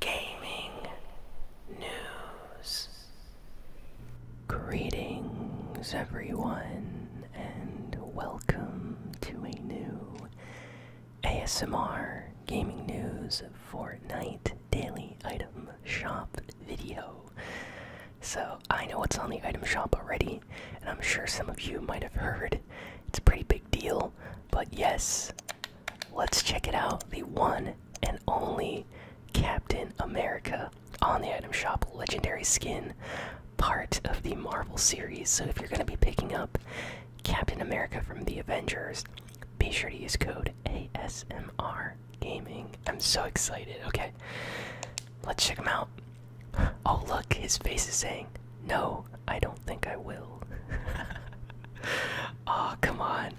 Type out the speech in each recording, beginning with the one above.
gaming news. Greetings, everyone, and welcome to a new ASMR Gaming News Fortnite Daily Item Shop video. So, I know what's on the item shop already, and I'm sure some of you might have heard. It's a pretty big deal, but yes, Let's check it out. The one and only Captain America on the item shop legendary skin, part of the Marvel series. So if you're going to be picking up Captain America from the Avengers, be sure to use code ASMR Gaming. I'm so excited. Okay, let's check him out. Oh, look, his face is saying, No, I don't think I will. oh, come on.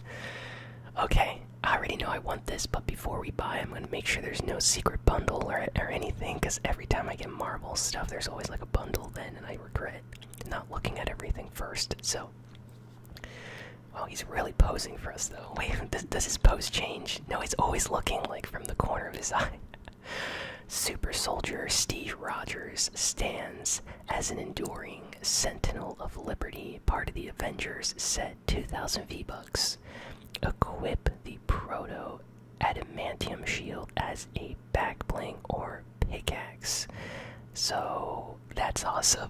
Okay, I already know I want this, but before we buy, I'm gonna make sure there's no secret bundle or, or anything, because every time I get marble stuff, there's always like a bundle then, and I regret not looking at everything first, so. Wow, he's really posing for us though. Wait, does, does his pose change? No, he's always looking like from the corner of his eye. Super Soldier Steve Rogers stands as an enduring Rising, Sentinel of Liberty, part of the Avengers set 2000 V-Bucks. Equip the Proto Adamantium Shield as a back bling or pickaxe. So that's awesome.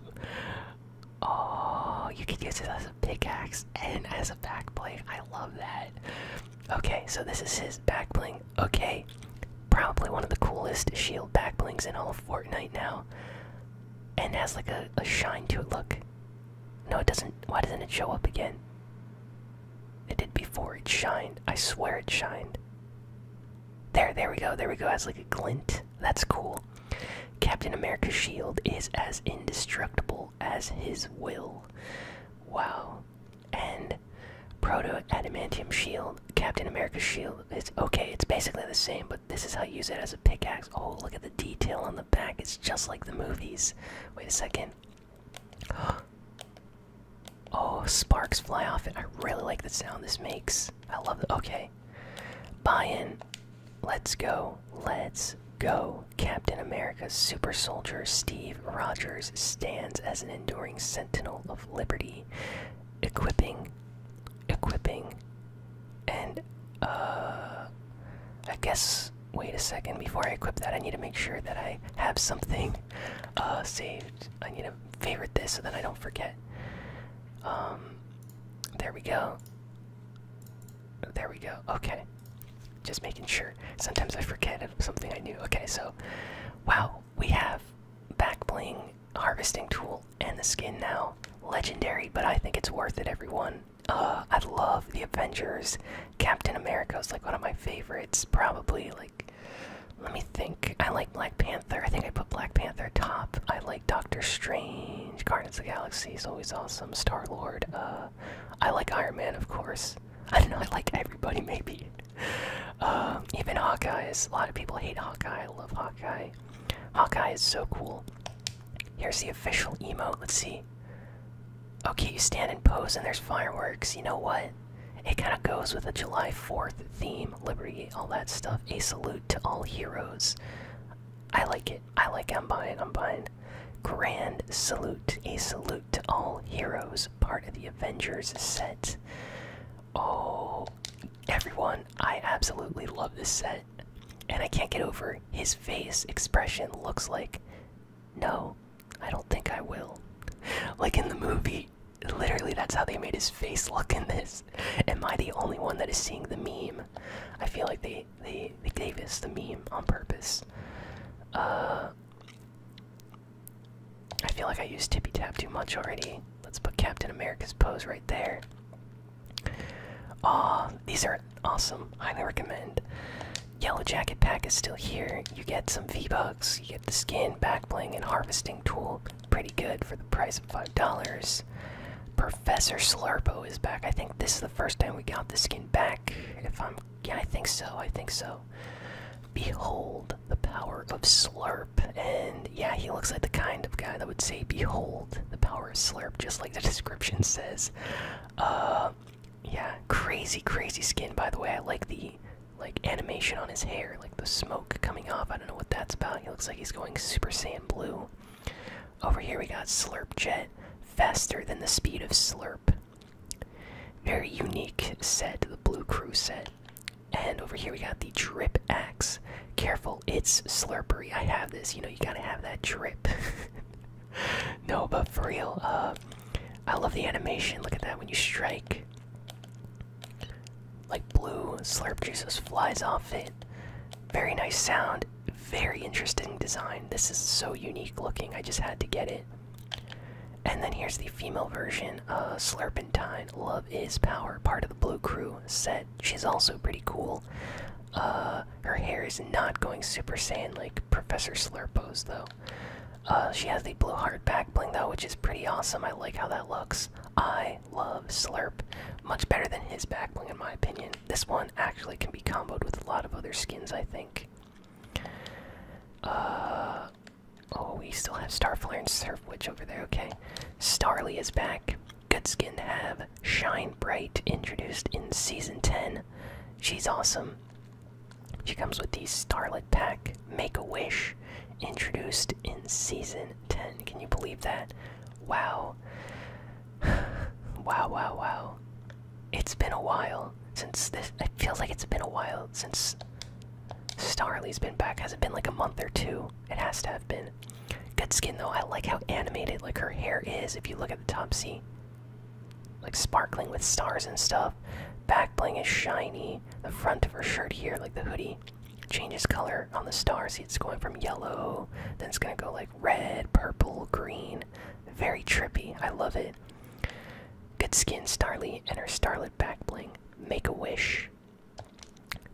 Oh, you could use it as a pickaxe and as a back bling. I love that. Okay, so this is his back bling. Okay, probably one of the coolest shield back blings in all of Fortnite now and has like a, a shine to it. Look, no, it doesn't. Why doesn't it show up again? It did before. It shined. I swear it shined. There, there we go. There we go. It has like a glint. That's cool. Captain America's shield is as indestructible as his will. Wow. And Proto Adamantium shield, Captain America's shield. is okay. It's basically the same, but this is how you use it as a pickaxe. Oh, look at the detail on the back. It's just like the movies. Wait a second. Oh, sparks fly off it. I really like the sound this makes. I love it. Okay. Buy in. Let's go. Let's go. Captain America, Super Soldier Steve Rogers stands as an enduring sentinel of liberty, equipping, equipping, and uh, I guess wait a second before I equip that I need to make sure that I have something uh, saved. I need to favorite this so that I don't forget. Um there we go. There we go. Okay. Just making sure. Sometimes I forget of something I knew. Okay, so wow, we have back bling harvesting tool and the skin now. Legendary, but I think it's worth it, everyone. Uh, I love the Avengers. Captain America is like one of my favorites, probably. Like, let me think. I like Black Panther. I think I put Black Panther top. I like Doctor Strange. Guardians of the Galaxy is always awesome. Star Lord. Uh, I like Iron Man, of course. I don't know. I like everybody, maybe. Uh, even Hawkeye A lot of people hate Hawkeye. I love Hawkeye. Hawkeye is so cool. Here's the official emote. Let's see. Okay, you stand and pose and there's fireworks. You know what? It kind of goes with the July 4th theme, liberty, all that stuff. A salute to all heroes. I like it. I like it. I'm buying. I'm buying. Grand salute. A salute to all heroes. Part of the Avengers set. Oh, everyone. I absolutely love this set. And I can't get over his face expression looks like, no, I don't think I will. Like in the movie, literally that's how they made his face look in this. Am I the only one that is seeing the meme? I feel like they they, they gave us the meme on purpose. Uh I feel like I used Tippy Tap too much already. Let's put Captain America's pose right there. Aw, these are awesome. Highly recommend. Yellow Jacket pack is still here. You get some V-Bucks, you get the skin, back, backbling, and harvesting tool. Pretty good for the price of $5. Professor Slurpo is back. I think this is the first time we got the skin back. If I'm yeah, I think so, I think so. Behold the power of Slurp. And yeah, he looks like the kind of guy that would say behold the power slurp, just like the description says. Uh, yeah, crazy, crazy skin. By the way, I like the like animation on his hair, like the smoke coming off. I don't know what that's about. He looks like he's going Super Saiyan blue. Over here we got Slurp Jet, faster than the speed of Slurp. Very unique set, the Blue Crew set. And over here we got the Drip Axe. Careful, it's slurpery. I have this. You know, you gotta have that drip. no, but for real, uh, I love the animation. Look at that when you strike. Like blue slurp juices flies off it. Very nice sound. Very interesting design. This is so unique looking. I just had to get it. And then here's the female version, uh, Slurpentine. Love is power. Part of the blue crew. set she's also pretty cool. Uh, her hair is not going Super Saiyan like Professor Slurpo's though. Uh, she has the blue heart bling though, which is pretty awesome. I like how that looks. I love Slurp. Much better than his back bling in my opinion. This one actually can be comboed with a lot of other skins, I think. Uh, oh, we still have Starflare and Surf Witch over there, okay. Starly is back. Good skin to have. Shine Bright, introduced in season 10. She's awesome. She comes with the Starlet Pack, Make a Wish, introduced in season 10. Can you believe that? Wow. wow, wow, wow. It's been a while since this. It feels like it's been a while since Starly's been back. Has it been like a month or two? It has to have been. Good skin though. I like how animated like her hair is. If you look at the top, see, like sparkling with stars and stuff. Back bling is shiny. The front of her shirt here, like the hoodie, changes color on the stars. it's going from yellow, then it's gonna go like red, purple, green. Very trippy. I love it. Good skin, Starly, and her starlet back bling. Make a wish.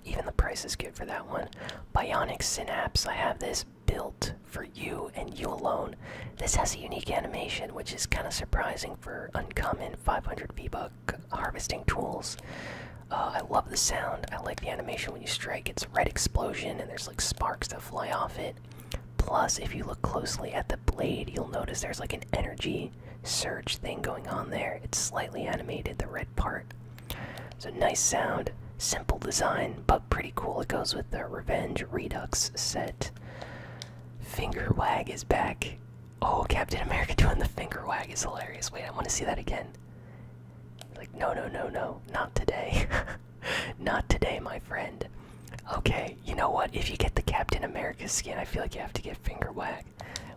Even the price is good for that one. Bionic Synapse, I have this built for you and you alone. This has a unique animation, which is kind of surprising for uncommon 500 V-Buck harvesting tools. Uh, I love the sound. I like the animation when you strike. It's a red explosion, and there's like sparks that fly off it. Plus, if you look closely at the blade, you'll notice there's like an energy surge thing going on there. It's slightly animated, the red part. It's a nice sound, simple design, but pretty cool. It goes with the Revenge Redux set. Finger wag is back. Oh, Captain America doing the finger wag is hilarious. Wait, I want to see that again. Like, no, no, no, no, not today. not today, my friend. Okay, you know what? If you get the Captain America skin, I feel like you have to get finger wag.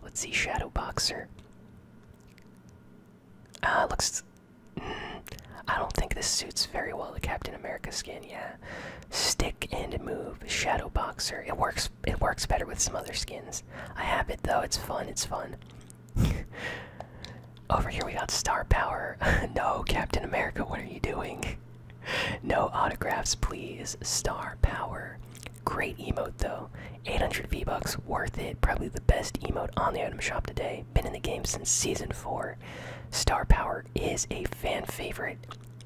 Let's see, Shadow Boxer. Uh, looks. Mm, I don't think this suits very well the Captain America skin. Yeah, stick and move shadow boxer. It works. It works better with some other skins. I have it though. It's fun. It's fun. Over here we got star power. no, Captain America, what are you doing? no autographs, please. Star power. Great emote though. 800 V bucks, worth it. Probably the best emote on the item shop today been in the game since season four. Star Power is a fan favorite.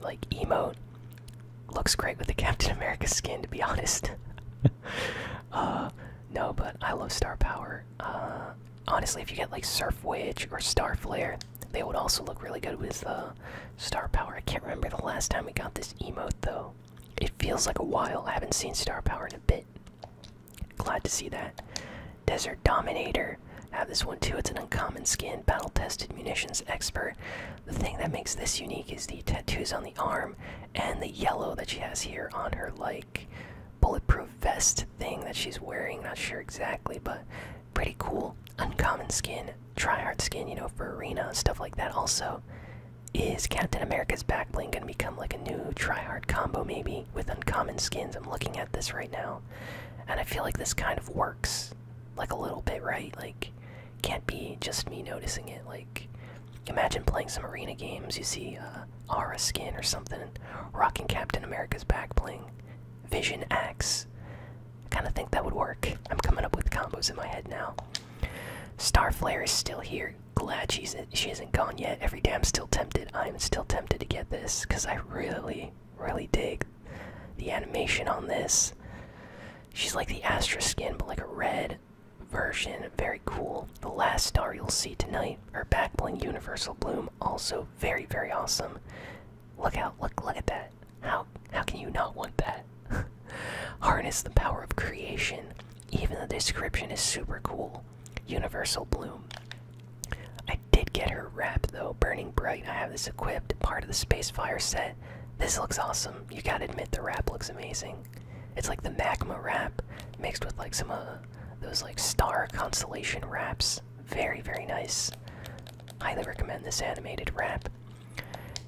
Like emote looks great with the Captain America skin, to be honest. Uh, no, but I love Star Power. Uh, honestly, if you get like Surf Witch or Star Flare, they would also look really good with the uh, Star Power. I can't remember the last time we got this emote though. It feels like a while. I haven't seen Star Power in a bit. Glad to see that. Desert Dominator. Have this one too. It's an uncommon skin, battle tested munitions expert. The thing that makes this unique is the tattoos on the arm and the yellow that she has here on her, like, bulletproof vest thing that she's wearing. Not sure exactly, but pretty cool. Uncommon skin, tryhard skin, you know, for arena stuff like that. Also, is Captain America's backlink going to become like a new tryhard? combo maybe with uncommon skins. I'm looking at this right now, and I feel like this kind of works like a little bit, right? Like, can't be just me noticing it. Like, imagine playing some arena games. You see uh, Aura skin or something, rocking Captain America's back, playing Vision X. I kind of think that would work. I'm coming up with combos in my head now. Starflare is still here. Glad she's she isn't gone yet. Every damn still tempted. I'm still tempted to get this because I really, really dig the animation on this. She's like the Astra skin, but like a red version. Very cool. The last star you'll see tonight, her backbling universal bloom, also very, very awesome. Look out! Look! Look at that! How how can you not want that? Harness the power of creation. Even the description is super cool. Universal Bloom. I did get her wrap though, Burning Bright. I have this equipped, part of the Space Fire set. This looks awesome. You gotta admit the wrap looks amazing. It's like the magma wrap mixed with like some of uh, those like star constellation wraps. Very, very nice. Highly recommend this animated wrap.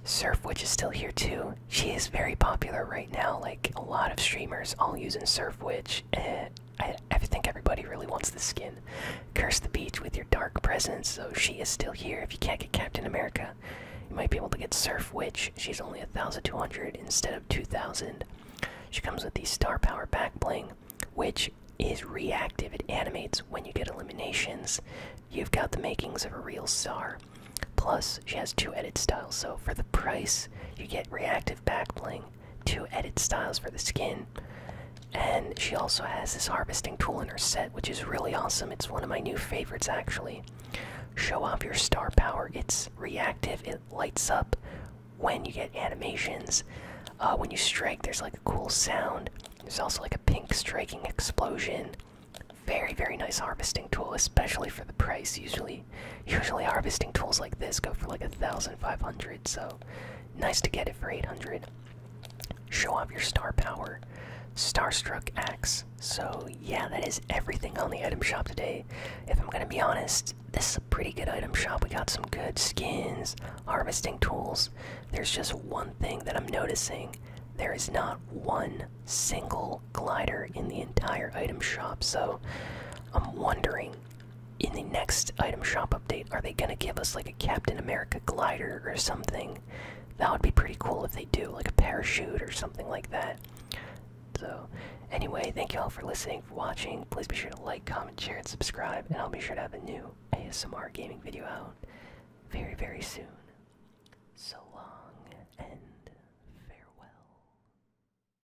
Surf Witch is still here too. She is very popular right now, like a lot of streamers all using Surf Witch. Eh, I, think everybody really wants this skin. Curse the beach with your dark presence, so she is still here. If you can't get Captain America, you might be able to get Surf Witch. She's only 1,200 instead of 2,000. She comes with the Star Power Back Bling, which is reactive. It animates when you get eliminations. You've got the makings of a real star. Plus, she has two edit styles, so for the price, you get reactive back bling. To edit styles for the skin, and she also has this harvesting tool in her set, which is really awesome. It's one of my new favorites, actually. Show off your star power. It's reactive. It lights up when you get animations. Uh, when you strike, there's like a cool sound. There's also like a pink striking explosion. Very, very nice harvesting tool, especially for the price. Usually, Usually harvesting tools like this go for like a thousand five hundred, so nice to get it for eight hundred. Show off your star power. Starstruck axe. So yeah, that is everything on the item shop today. If I'm gonna be honest, this is a pretty good item shop. We got some good skins, harvesting tools. There's just one thing that I'm noticing. There is not one single glider in the entire item shop, so I'm wondering in the next item shop update, are they gonna give us like a Captain America glider or something? That would be pretty cool if they do, like a parachute or something like that. So, anyway, thank you all for listening, for watching. Please be sure to like, comment, share, and subscribe, and I'll be sure to have a new ASMR gaming video out very, very soon. So long and farewell.